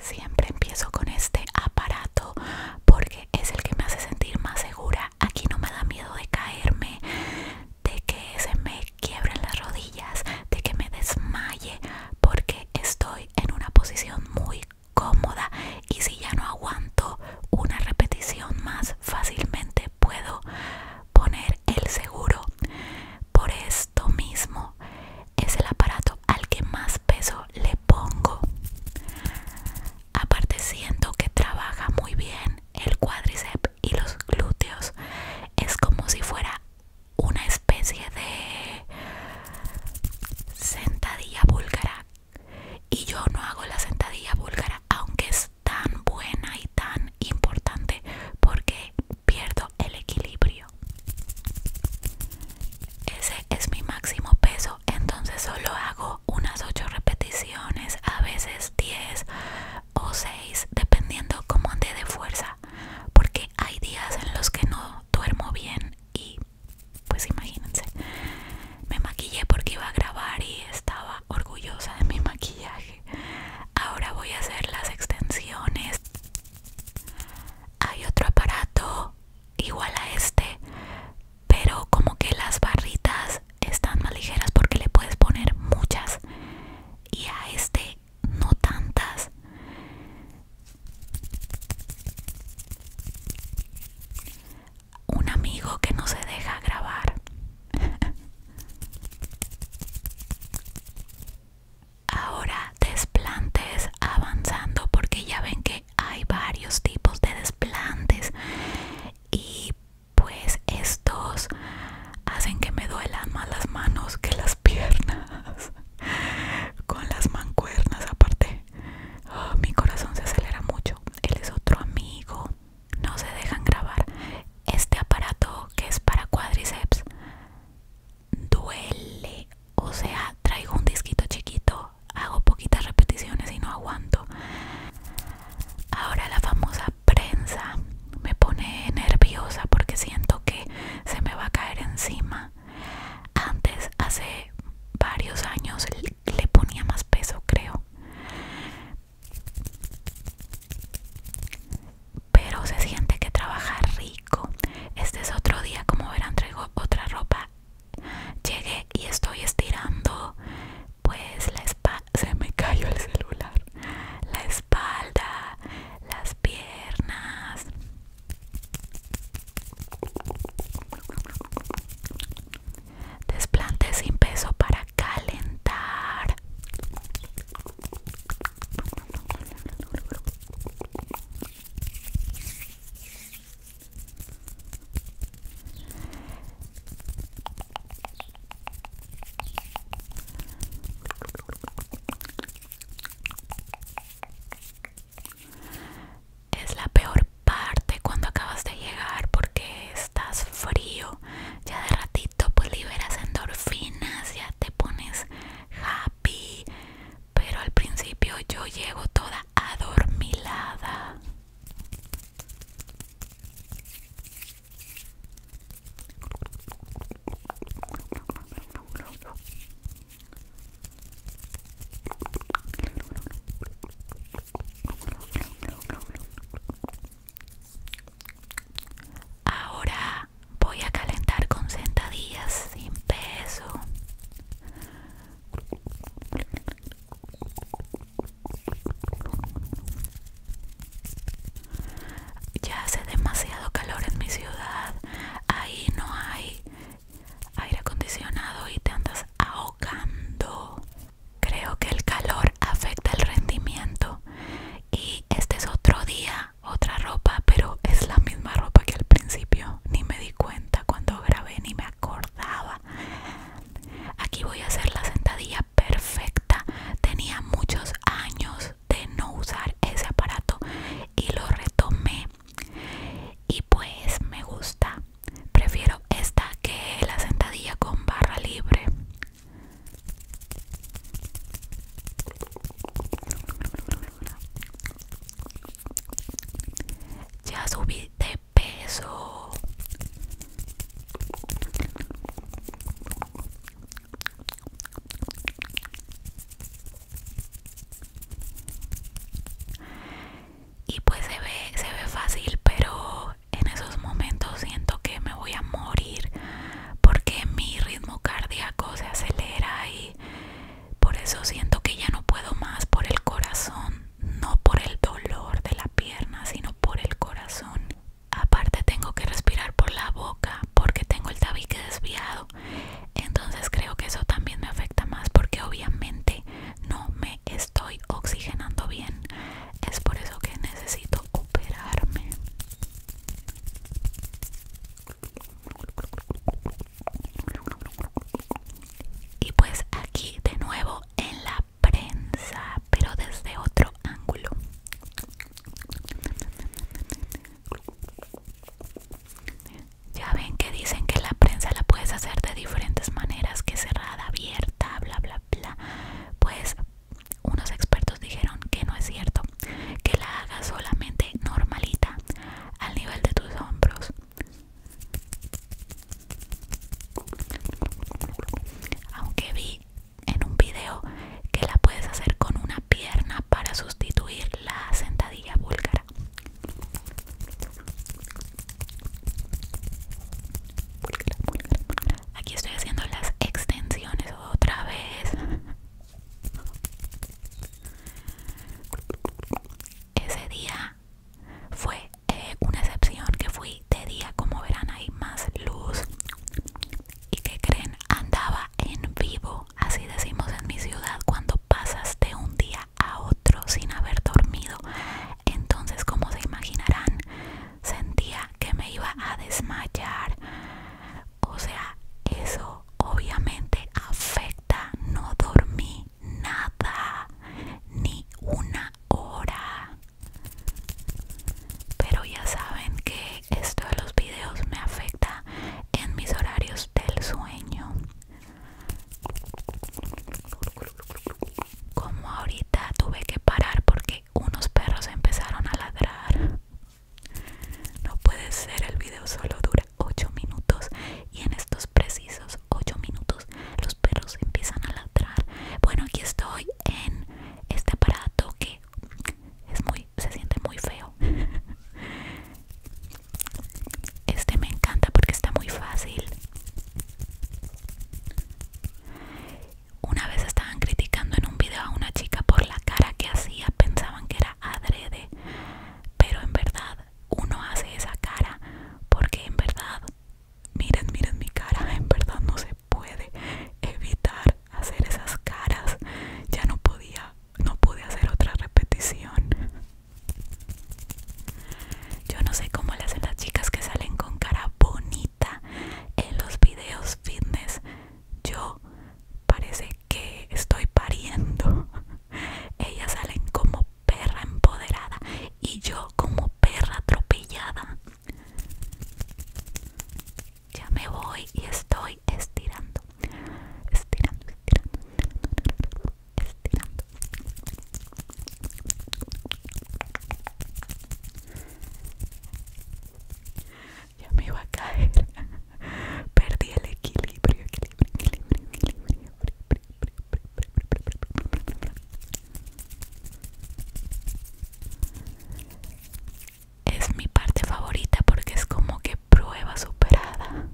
Siempre empiezo con este aparato porque es el que me hace sentir más segura. Aquí no me da miedo de caerme, de que se me quiebren las rodillas, de que me desmaye, porque estoy en una posición muy cómoda y si ya no aguanto una repetición más, fácilmente puedo poner el seguro. Por eso esto mismo es el aparato al que más peso le pongo. Aparte siento que trabaja muy bien el cuádriceps y los glúteos. Es como si fuera una especie de sentadilla búlgara. Y yo no hago la sentadilla búlgara, aunque es tan buena y tan importante porque pierdo el equilibrio. Ese es mi máximo peso, entonces solo hago unas 8 repeticiones, a veces 10 o 6, dependiendo cómo ande de fuerza, porque hay días en los que no duermo bien y pues imagínense, me maquillé porque iba a grabar y estaba orgullosa de mi maquillaje ahora voy a hacer las extensiones hay otro aparato igual a este pero como que las barritas están más ligeras porque le puedes poner muchas y a este no tantas un amigo que no se deja grabar Ahora desplantes avanzando porque ya ven que hay varios tipos de desplantes y pues estos hacen que me duelan más las manos que las piernas con las mancuernas aparte oh, mi corazón se acelera mucho él es otro amigo no se dejan grabar. Este aparato que es para cuádriceps duele. O sea, traigo un disquito chiquito, hago poquitas repeticiones y no aguanto. Ahora la famosa prensa me pone nerviosa porque siento que se me va a caer encima. Antes, hace varios años, le ponía más peso, creo pero se siente que trabaja rico este es otro día como verán traigo otra ropa llegué y estoy estirando pues la espalda se me cayó el celular la espalda las piernas Desplante sin peso para calentar es la peor parte cuando acabas de llegar porque estás frío ya de ratito pues liberas endorfinas, ya te pones happy, pero al principio yo llego toda adormilada. Ahora voy a calentar con sentadillas sin peso. Ya hace demasiado calor en mi ciudad. Ahí no hay aire acondicionado y te andas ahogando. Creo que el calor afecta el rendimiento y este es otro día, otra ropa, pero es la misma ropa que al principio. Ni me di cuenta cuando grabé, ni me acordaba. Aquí voy a hacer la sentadilla perfecta. Tenía muchos años de no usar ese aparato y lo retomé. Y pues me gusta. Prefiero esta que la sentadilla con barra libre. Ya subí de peso. Y pues se ve, se ve fácil, pero en esos momentos siento que me voy a morir porque mi ritmo cardíaco se acelera y por eso siento que ya no puedo más por el corazón, no por el dolor de la pierna, sino por el corazón. Aparte tengo que respirar por la boca porque tengo el tabique desviado. Entonces creo que eso también me afecta más porque obviamente no me es estoy oxigenando bien. Es por eso que necesito operarme. Y pues aquí de nuevo en la prensa, pero desde otro ángulo. Ya ven que dicen que la prensa la puedes hacer de diferentes maneras, que cerrar abierta, bla, bla, bla. Pues unos expertos dijeron que no es cierto, que la hagas solamente normalita, al nivel de tus hombros. Aunque vi en un video que la puedes hacer con una pierna para sustituir la sentadilla búlgara. Aquí estoy haciendo las extensiones otra vez. Ese día fue eh, una excepción que fui de día, como verán hay más luz. ¿Y que creen? Andaba en vivo, así decimos en mi ciudad, cuando pasas de un día a otro sin haber dormido. Entonces, como se imaginarán, sentía que me iba a desmayar. O sea, eso obviamente afecta. No dormí nada, ni una hora. Pero ya saben que esto de los vídeos me afecta en mis horarios del sueño. Como ahorita tuve que parar porque unos perros empezaron a ladrar. No puede ser, el video solo dura 8 minutos y en estos precisos 8 minutos los perros empiezan a ladrar. Bueno, aquí estoy en este aparato que es muy se siente muy feo. Este me encanta porque está muy fácil. Una vez estaban criticando en un video a una chica por la cara que hacía, pensaban que era adrede, pero en verdad uno hace esa cara porque en verdad, miren, miren mi cara, en verdad no se puede evitar hacer esas caras. Ya no podía, no pude hacer otra repetición. Yo no sé cómo le hacen las chicas que salen con cara bonita en los videos fitness. Yo parece que estoy pariendo. Ellas salen como perra empoderada y yo como perra atropellada. Ya me voy y estoy estirando. Estirando, estirando. estirando estirando ya me iba a caer perdí el equilibrio equilibrio es mi parte favorita porque es como que prueba superada